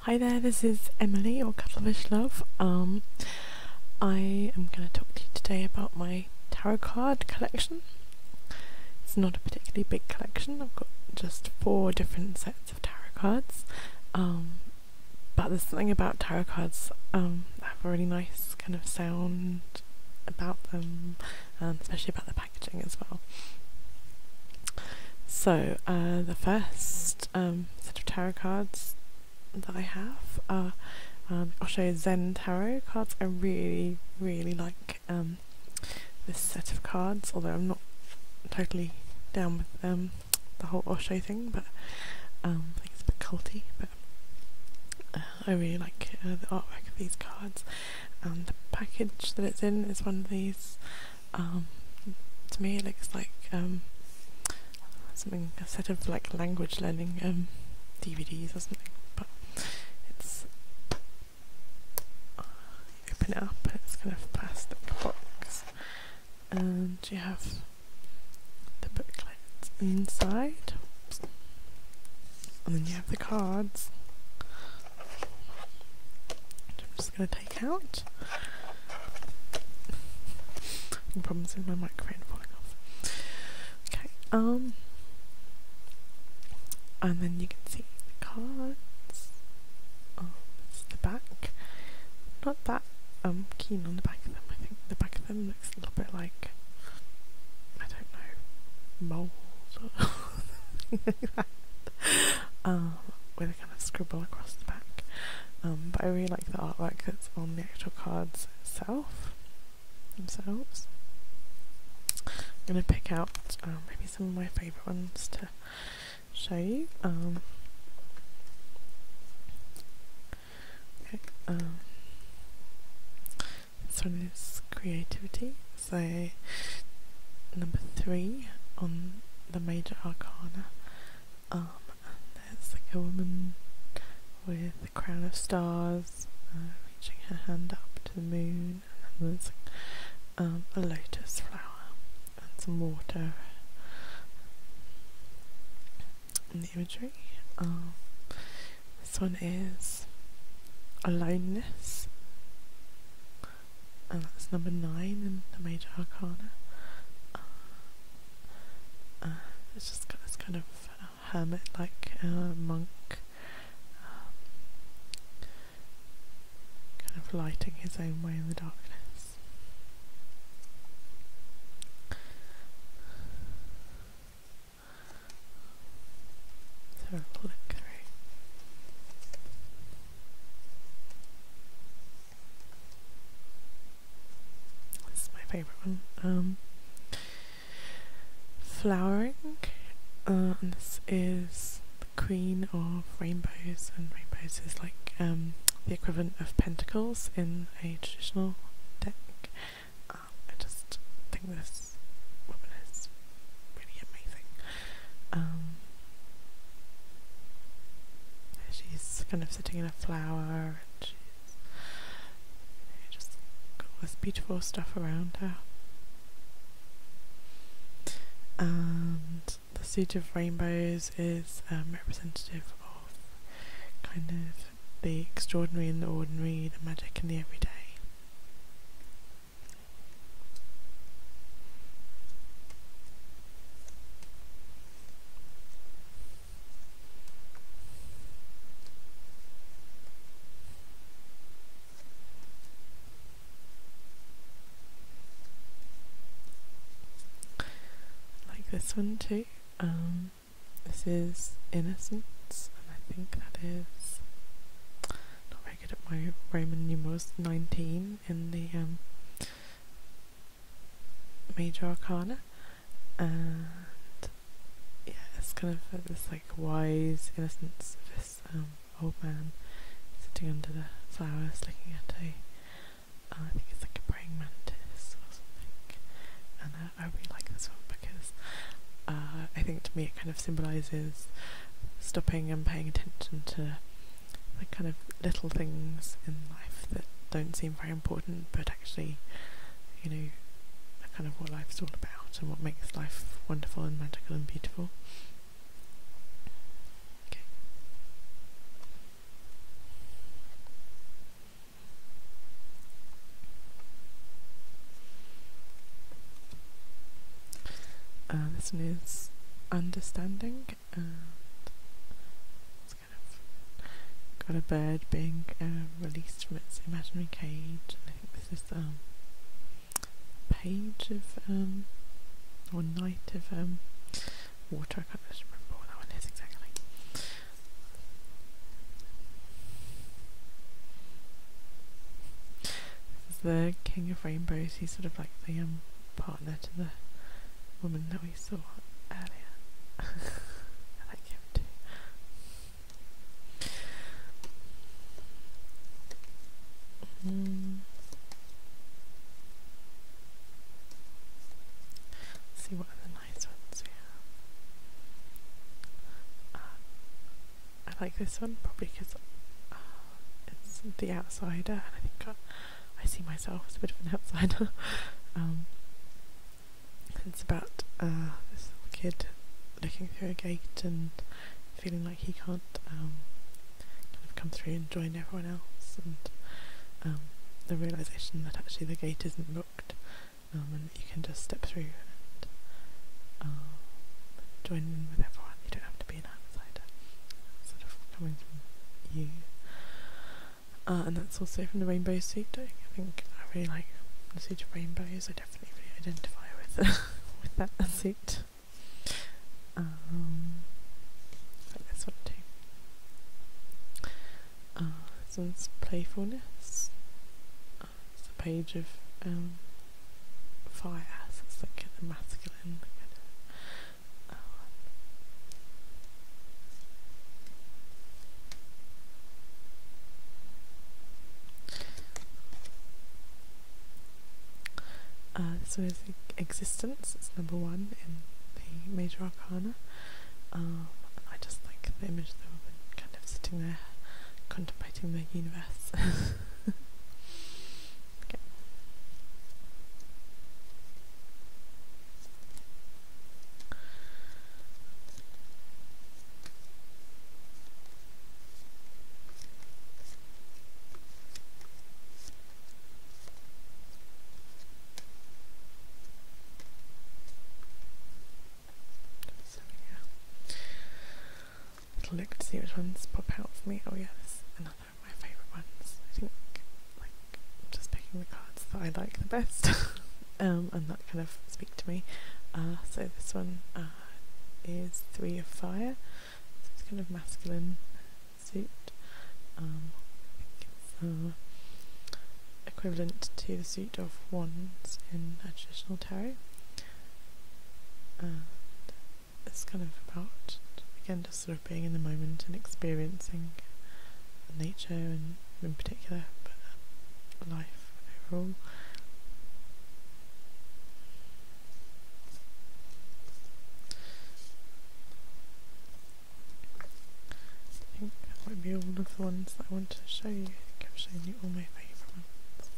Hi there, this is Emily or Cuttlefish Love. Um, I am going to talk to you today about my tarot card collection. It's not a particularly big collection, I've got just four different sets of tarot cards. Um, but there's something about tarot cards um, that have a really nice kind of sound about them, um, especially about the as well. So, uh, the first um, set of tarot cards that I have are um, Osho Zen Tarot cards. I really, really like um, this set of cards, although I'm not totally down with um, the whole Osho thing, but I think it's a bit culty, but uh, I really like uh, the artwork of these cards, and the package that it's in is one of these um, to me, it looks like um, something a set of like language learning um, DVDs or something. But it's uh, open it up, it's kind of plastic box, and you have the booklet inside, and then you have the cards. I'm just gonna to take problem's with my microphone falling off. Okay, um, and then you can see the cards. Oh, it's the back. Not that um keen on the back of them. I think the back of them looks a little bit like I don't know mold or something Um, kind of scribble across the back. Um, but I really like the artwork that's on the actual cards itself themselves. I'm going to pick out um, maybe some of my favourite ones to show you. Um, okay, um, this one is creativity. So, number three on the major arcana. Um, there's like a woman with a crown of stars, uh, reaching her hand up to the moon, and there's um, a lotus flower and some water in the imagery. Um, this one is aloneness and that's number 9 in the Major Arcana. Uh, uh, it's just got kind of hermit like uh, monk um, kind of lighting his own way in the darkness. So this is my favourite one. Um, flowering, uh, this is the queen of rainbows, and rainbows is like um, the equivalent of pentacles in a traditional deck. Um, I just think this woman is really amazing. Um, she's kind of sitting in a flower, and she's just got this beautiful stuff around her. And the siege of rainbows is um, representative of kind of the extraordinary and the ordinary, the magic and the everyday. Like this one too. Um, this is Innocence, and I think that is not very good at my Roman numerals, 19 in the um, Major Arcana, and yeah, it's kind of this like wise innocence of this um, old man sitting under the flowers, looking at a, uh, I think it's like a praying mantis or something, and uh, I, really like this one because uh, I think to me it kind of symbolises stopping and paying attention to the kind of little things in life that don't seem very important, but actually, you know, kind of what life's all about and what makes life wonderful and magical and beautiful. Okay. Uh, this one is understanding got a bird being um, released from its imaginary cage. I think this is um page of um, one night of um, water. I can't remember what that one is exactly. This is the King of Rainbows. He's sort of like the um partner to the woman that we saw earlier. I like him too. Mm. see what other nice ones uh, I like this one probably because uh, it's the outsider, I see myself as a bit of an outsider. Um, it's about uh, this little kid looking through a gate and feeling like he can't um, kind of come through and join everyone else, and um, the realization that actually the gate isn't locked and that you can just step through and uh, join in with everyone. You don't have to be an outsider instead of coming from you. Uh, and that's also from the rainbow suit I think I really like the suit of rainbows. I definitely identify with with that suit. Um, uh, like this one too. Uh, playfulness. it's a page of um, fire. it's like the masculine um, uh, is existence, it's number one in the major arcana. Um, I just like the image of the kind of sitting there contemplating the universe. Okay. So, to see which ones pop out for me. Oh yes, they're my favourite ones. I think like just picking the cards that I like the best, um, and that kind of speak to me. Uh, so this one uh, is Three of Fire. So it's kind of masculine suit. Um, uh, equivalent to the suit of wands in traditional tarot. And it's kind of about again just sort of being in the moment and experiencing nature and in particular um, life overall. I think that might be all of the ones that I want to show you. I think I've shown you all my favourite ones.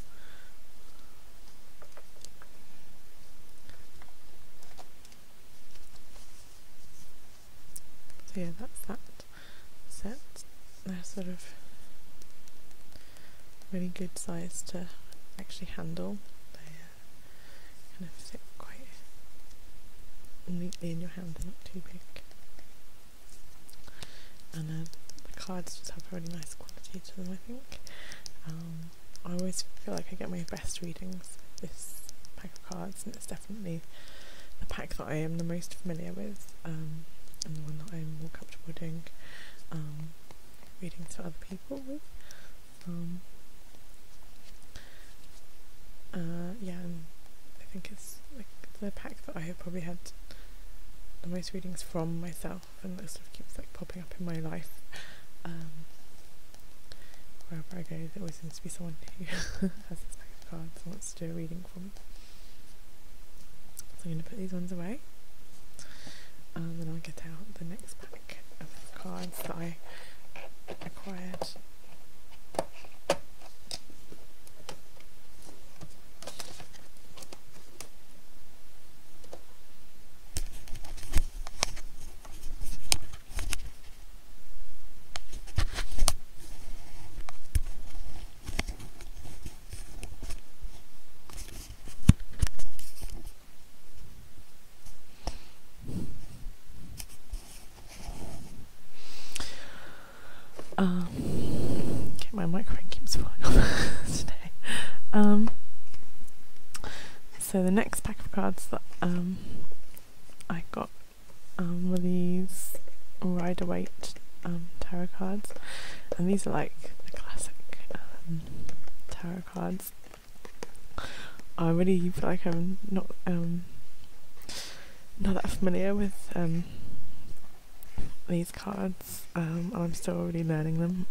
So yeah, that's that set. They're sort of really good size to actually handle. They uh, kind of sit quite neatly in your hand, they're not too big. And uh, the cards just have a really nice quality to them, I think. Um, I always feel like I get my best readings this pack of cards, and it's definitely the pack that I am the most familiar with, um, and the one that I'm more comfortable doing readings um, reading to other people with. Uh, yeah, I think it's like the pack that I have probably had the most readings from myself, and that sort of keeps like up in my life. Um, wherever I go, there always seems to be someone who has this pack of cards and wants to do a reading for me. So I'm going to put these ones away, um, and then I'll get out the next pack of cards that I acquired um, okay, my microphone keeps falling today. Um, so the next pack of cards that um, I got um, were these Rider Waite um, tarot cards, and these are like the classic tarot cards. I really feel like I'm not not that familiar with these cards, and I'm still really learning them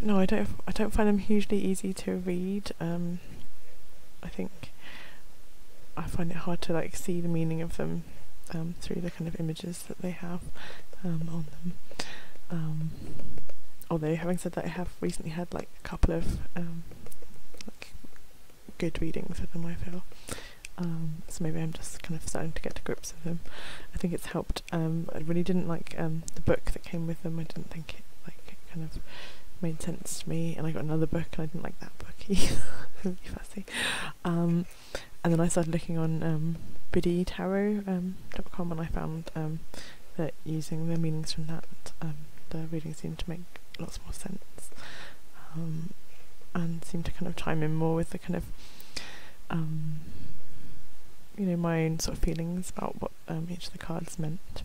no, I don't. I don't find them hugely easy to read. Um, I think I find it hard to like see the meaning of them um, through the kind of images that they have um, on them. although, having said that, I have recently had like a couple of good readings with them. I feel. so maybe I'm just kind of starting to get to grips with them. I think it's helped um, I really didn't like um, the book that came with them. I didn't think it like kind of made sense to me, and I got another book and I didn't like that book either. really fussy. Um, and then I started looking on biddytarot.com and I found that using the meanings from that, the readings seemed to make lots more sense and seemed to kind of chime in more with the kind of you know, my own sort of feelings about what um, each of the cards meant.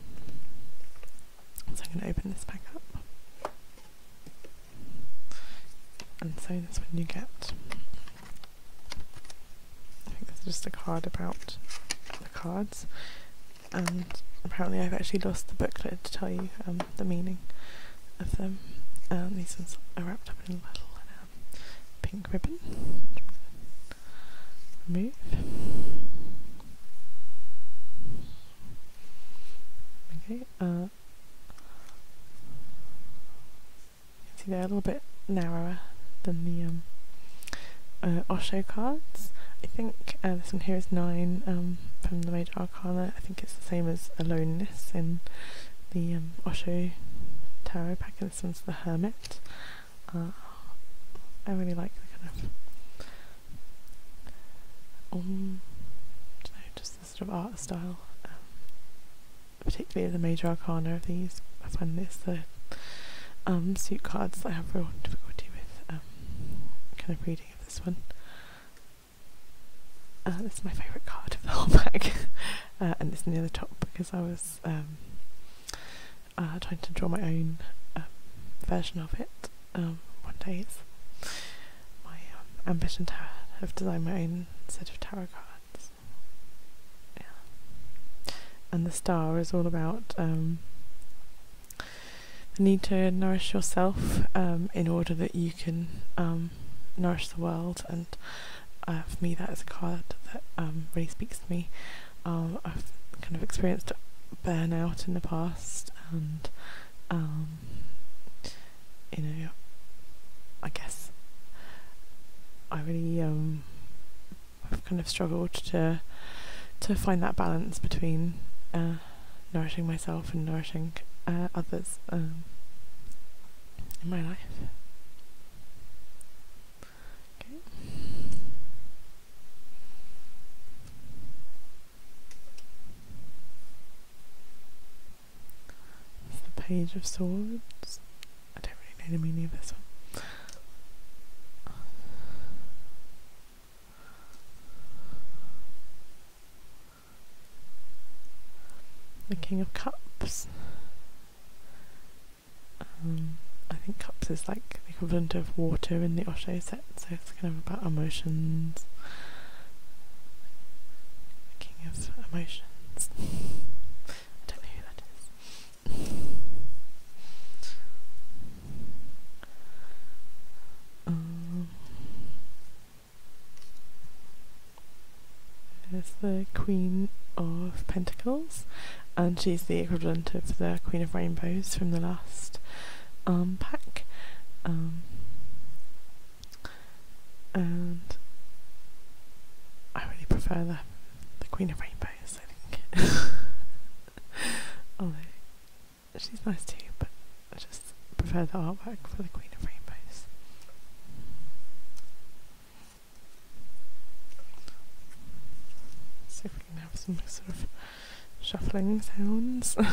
So I'm going to open this back up. And so this. when you get. I think it's just a card about the cards. And apparently, I've actually lost the booklet to tell you um, the meaning of them. Um, these ones are wrapped up in little pink ribbon. Remove. Okay, uh, see they're a little bit narrower than the um, uh, Osho cards. I think uh, this one here is 9 um, from the Major Arcana. I think it's the same as Aloneness in the um, Osho Tarot pack, and this one's the Hermit. Uh, I really like the kind of, um, know, just the sort of art style, um, particularly the major arcana of these. I find this the um, suit cards I have real difficulty with um, kind of reading of this one. Uh, this is my favourite card of the whole pack, uh, and it's near the top because I was was um, uh, trying to draw my own um, version of it um, one day. my um, ambition to have designed my own set of tarot cards. And the star is all about the need to nourish yourself in order that you can nourish the world uh, for me that is a card that um, really speaks to me. Um, I've kind of experienced burnout in the past and um, you know I guess I really have kind of struggled to to find that balance between uh, nourishing myself and nourishing uh, others in my life the Page of Swords. I don't really know the meaning of this one. The King of Cups, um, I think cups is like the equivalent of water in the Osho set, so it's kind of about emotions. The king of emotions. I don't know who that is. Um, there's the Queen of Pentacles, and she's the equivalent of the Queen of Rainbows from the last um, pack. Um, and I really prefer the, the Queen of Rainbows, I think. Although she's nice too, but I just prefer the artwork for the Queen of Rainbows. Let's see if we can have some sort of shuffling sounds.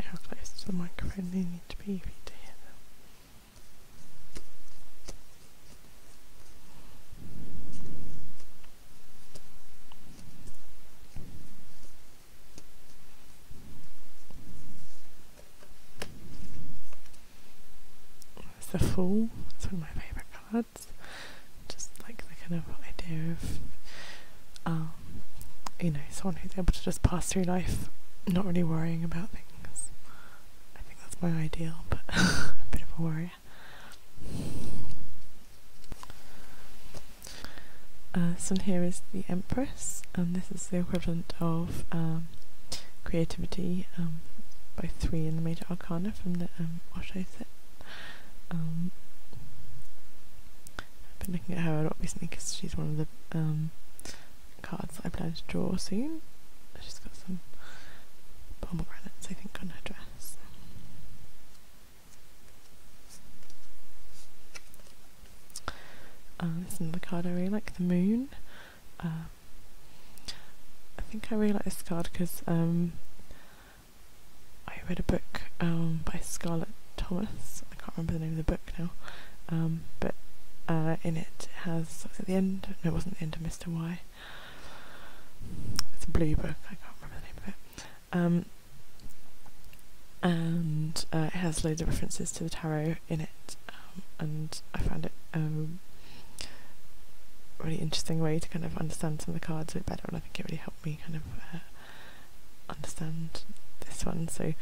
how close to the microphone they need to be for you to hear them is the Fool. It's one of my favourite cards. Just like the kind of idea of, um, you know, someone who's able to just pass through life not really worrying about things. I think that's my ideal, but I'm a bit of a worrier. Uh, so here is the Empress, and this is the equivalent of um, Creativity um, by three in the Major Arcana from the um, Osho set. Um, I've been looking at her a lot recently because she's one of the um, cards I plan to draw soon. She's got some pomegranates, I think, on her dress. Um, this is another card I really like, the moon. Uh, I think I really like this card because um, I read a book um, by Scarlett Thomas. I can't remember the name of the book now, um, but uh, in it, it has at the end. No, it wasn't the end of Mister Y. It's a blue book. I can't remember the name of it. and uh, it has loads of references to the tarot in it, and I found it really interesting way to kind of understand some of the cards a bit better and I think it really helped me kind of uh, understand this one. So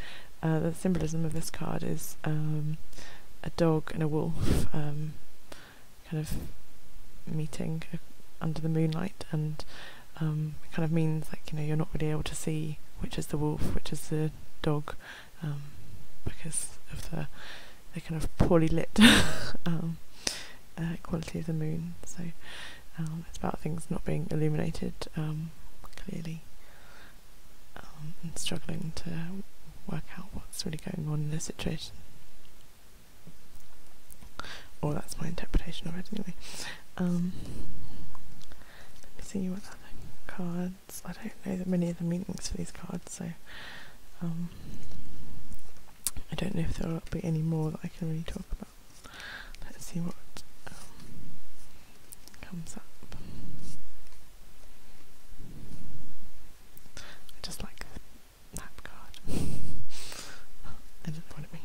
uh, the symbolism of this card is um, a dog and a wolf um, kind of meeting uh, under the moonlight and it um, kind of means like you know you're not really able to see which is the wolf, which is the dog, um, because of the kind of poorly lit um, uh, quality of the moon. So um, it's about things not being illuminated clearly and struggling to work out what's really going on in the situation. Or that's my interpretation of it anyway. let me see what other cards. I don't know that many of the meanings for these cards, so um, I don't know if there will be any more that I can really talk about. Let's see what um, comes up. I just like that card. I don't know what it means.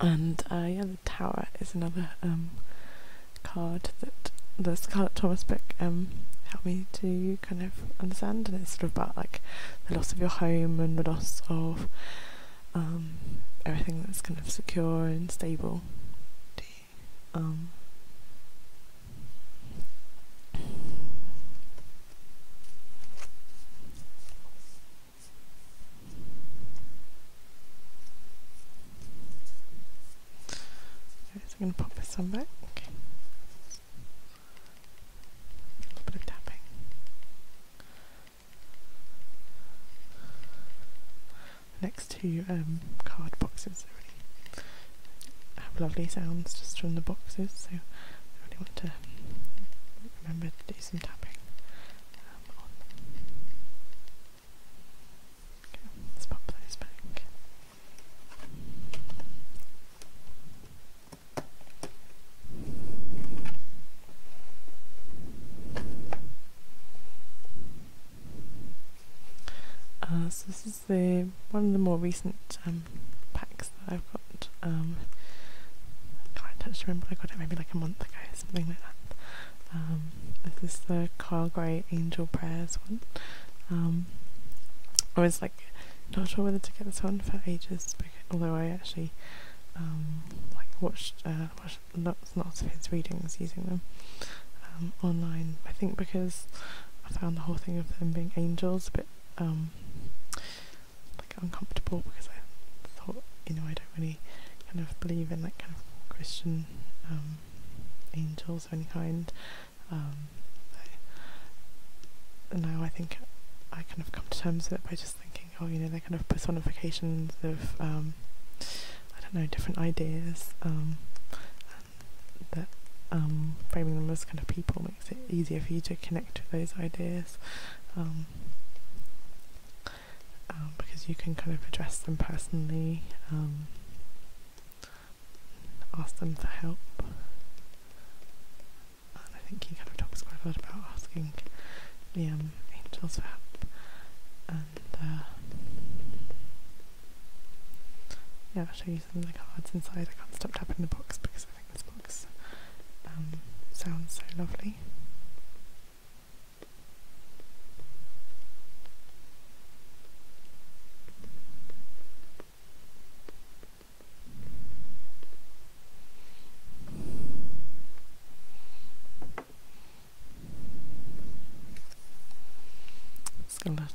And yeah, the tower is another um, card that the Scarlett Thomas book um, helped me to kind of understand, and it's sort of about like the loss of your home and the loss of um, everything that's kind of secure and stable. I'm going to pop this on back. A little bit of tapping. Next to um, card boxes already have lovely sounds just from the boxes, so I really want to remember to do some tapping let's pop those back. Uh, so this is the one of the more recent um, packs I've got. Um, can't actually remember, I got it maybe like a month ago, something like that. Um, this is the Carl Grey Angel Prayers one. Um, I was like not sure whether to get this one for ages, although I actually like watched, uh, watched lots of his readings using them online. I think because I found the whole thing of them being angels a bit like uncomfortable because I thought you know I don't really kind of believe in that kind of Christian um, angels of any kind. Um, now I think I kind of come to terms with it by just thinking, oh, you know, they're kind of personifications of um, I don't know different ideas. Um, that framing them as kind of people makes it easier for you to connect to those ideas. Um, because you can kind of address them personally, um, ask them for help. And I think he kind of talks quite a lot about asking the angels for help. And uh, yeah, I'll show you some of the cards inside. I can't stop tapping the box because I think this box um, sounds so lovely.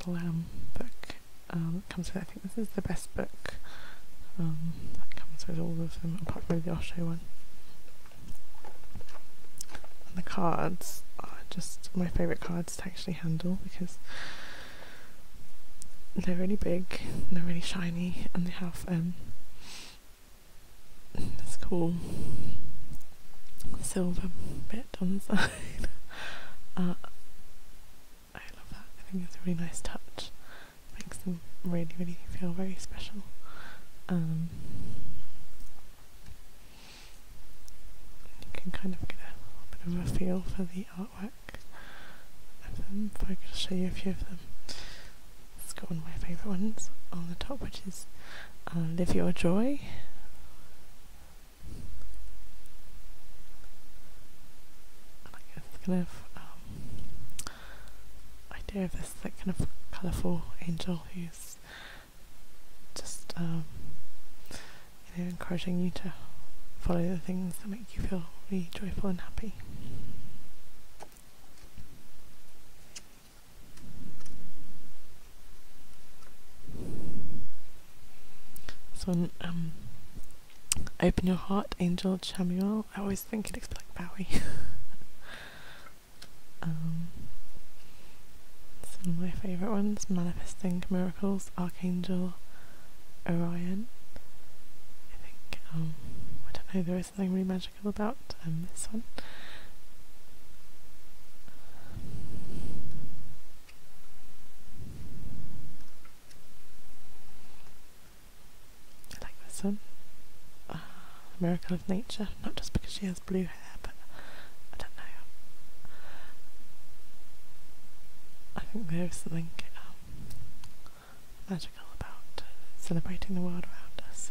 Um, um, it book comes with. I think this is the best book that with all of them, apart from the Osho one. the cards are just my favourite cards to actually handle because they're really big, they're really shiny, and they have um, this cool silver bit on the side. Uh, I love that, I think it's a really nice touch makes them really, really feel very special. Um, you can kind of get a bit of a feel for the artwork of them. If I could show you a few of them. It's got one of my favourite ones on the top, which is uh, Live Your Joy. And I guess kind of idea of this kind of colourful angel who's just um, encouraging you to follow the things that make you feel really joyful and happy. So, um, open your heart, Angel Chamuel. I always I think it is like Bowie. Um, some of my favourite ones Manifesting Miracles, Archangel, Orion. I think, um, I don't know, there is something really magical about um, this one. I like this one. Uh, Miracle of Nature, not just because she has blue hair, but I don't know. I think there is something um, magical about celebrating the world around us.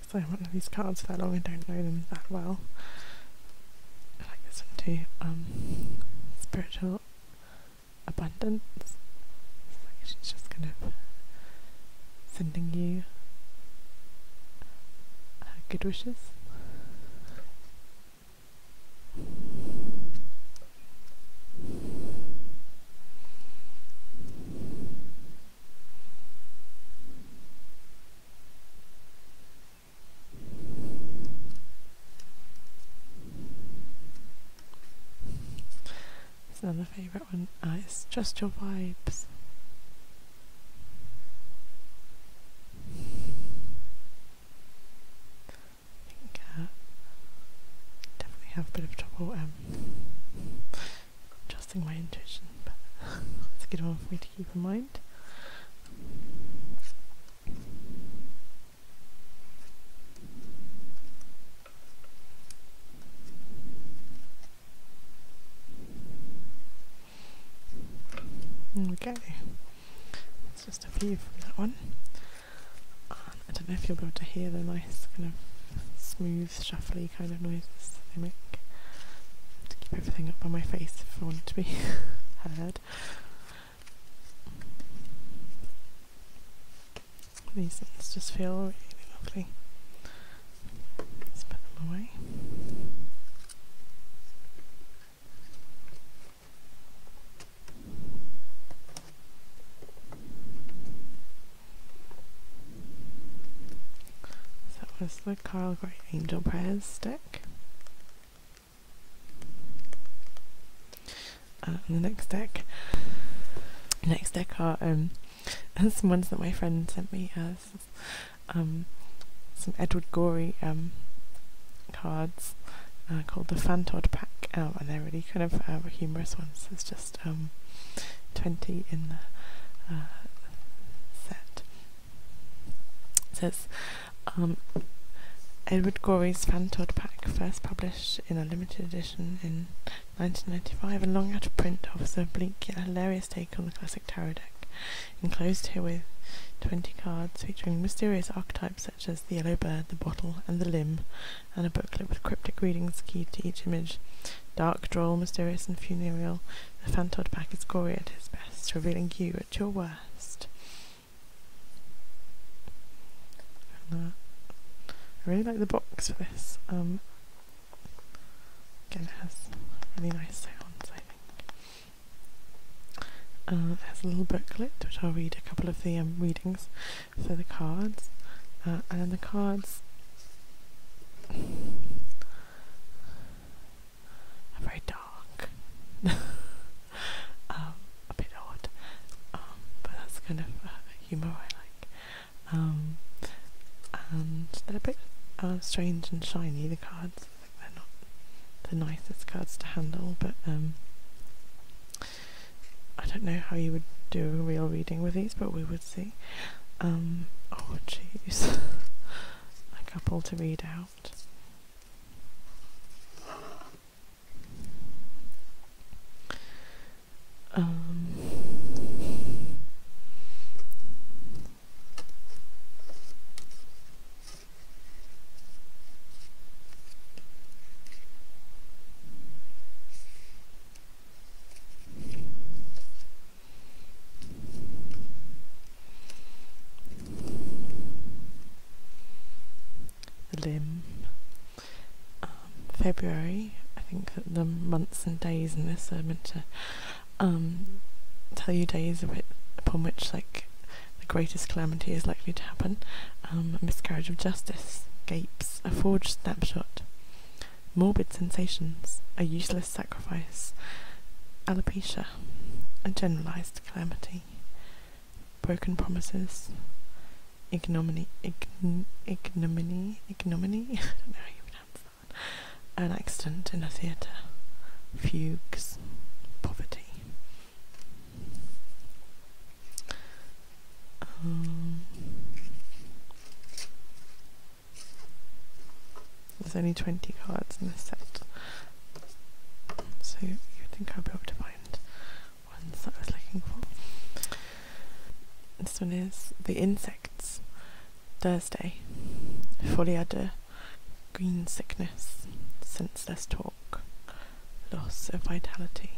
Because I haven't had these cards for that long, I don't know them that well. I like this one too. Um, spiritual abundance. It's like she's just kind of sending you good wishes. It's another favourite one. Uh, it's just your vibes think uh, definitely have a bit of trouble um, adjusting my intuition, but it's a good one for me to keep in mind. Okay, we go. It's just a view from that one. Um, I don't know if you'll be able to hear the nice kind of smooth, shuffly kind of noises they make. To keep everything up on my face if I want to be heard. These things just feel really lovely. Let's put them away. That was the Carl Gray Angel Prayers stick. Uh, the next deck, the next deck are um, some ones that my friend sent me. Uh, um, some Edward Gorey um, cards uh, called the Fantod Pack, oh, and they're really kind of uh, humorous ones. There's just um, 20 in the uh, set. It says, Edward Gorey's Fantod Pack, first published in a limited edition in 1995 and long out of print, offers a bleak yet hilarious take on the classic tarot deck enclosed here with 20 cards featuring mysterious archetypes such as the yellow bird, the bottle, and the limb, and a booklet with cryptic readings keyed to each image. Dark, droll, mysterious, and funereal, the Fantod pack is gory at its best, revealing you at your worst. Uh, I really like the box for this. Um, it has really nice sounds, I think. Uh, it has a little booklet which I'll read a couple of the um, readings. So the cards, uh, and then the cards are very dark, um, a bit odd, um, but that's kind of uh, humour I like. Um, and they're a bit uh, strange and shiny, the cards they're not the nicest cards to handle, but um, I don't know how you would do a real reading with these, but we would see. Um, oh jeez, a couple to read out. Um, the um, February, I think the months and days in this are meant to um, tell you days upon which like the greatest calamity is likely to happen, um, a miscarriage of justice, gapes, a forged snapshot, morbid sensations, a useless sacrifice, alopecia, a generalized calamity, broken promises, ignominy, ign ignominy, ignominy, I don't know how you pronounce that, an accident in a theatre, fugues, poverty. Um, there's only 20 cards in this set, so you think I'll be able to find one that I was looking for. This one is The Insects, Thursday, Foliada green sickness, senseless talk, loss of vitality,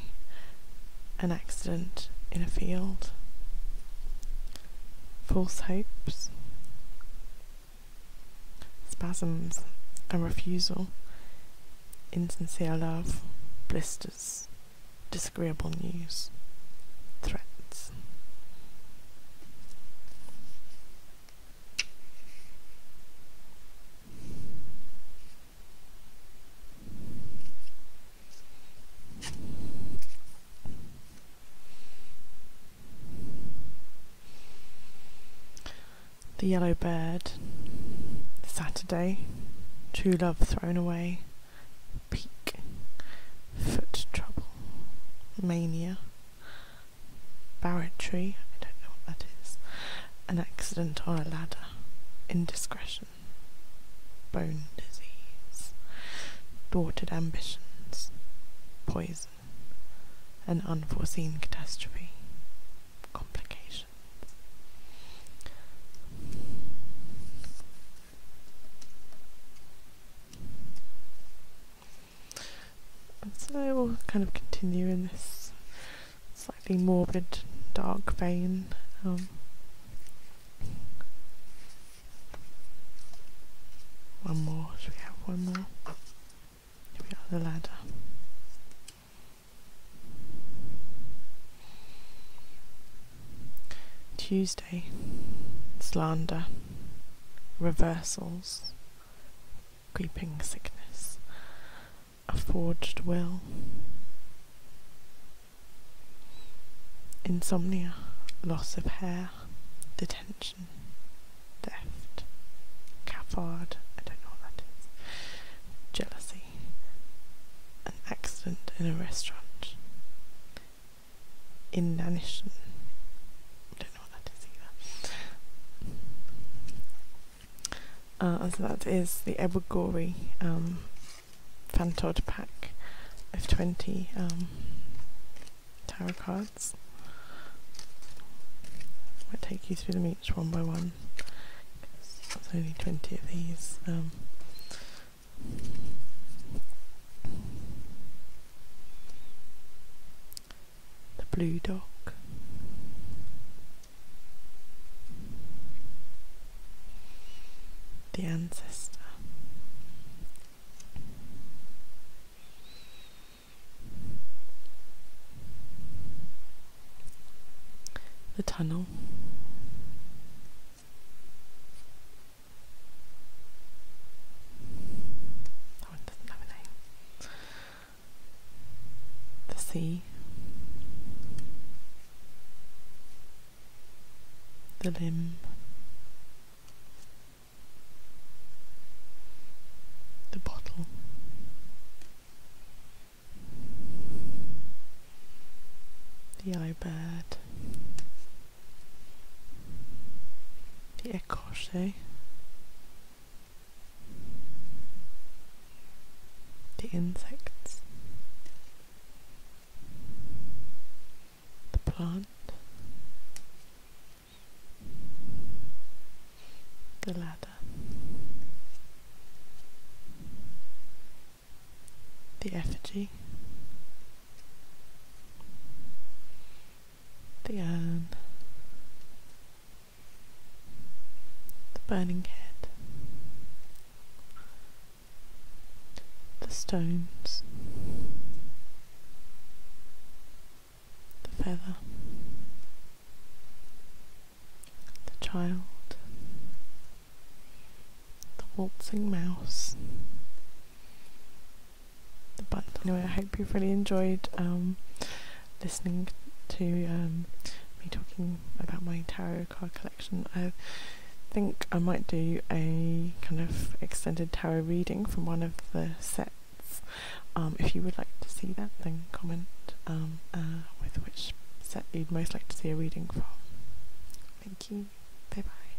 an accident in a field, false hopes, spasms, a refusal, insincere love, blisters, disagreeable news, threats. The Yellow Bird, Saturday, True Love Thrown Away, Peak, Foot Trouble, Mania, barratry, I don't know what that is, an accident on a ladder, indiscretion, bone disease, thwarted ambitions, poison, an unforeseen catastrophe, Complication. So we'll kind of continue in this slightly morbid, dark vein. Um, one more, we have one more? the ladder. Tuesday, slander, reversals, creeping sickness, a forged will, insomnia, loss of hair, detention, theft, cafard, I don't know what that is, jealousy, an accident in a restaurant, inanition, uh, so that is the Ebogori um, Fantod pack of 20 um, tarot cards. I will take you through them each one by one. There's only 20 of these. Um the blue dock. The ancestor. The tunnel. That oh, one doesn't have a name the sea, the limb, the bottle. The eye iBird, the écorché, the insects, the plant, the ladder, the effigy, the urn, the burning head, the stones, the feather, the child, the waltzing mouse. But anyway, I hope you've really enjoyed um, listening to um, me talking about my tarot card collection. I think I might do a kind of extended tarot reading from one of the sets. Um, if you would like to see that, then comment um, uh, with which set you'd most like to see a reading from. Thank you. Bye bye.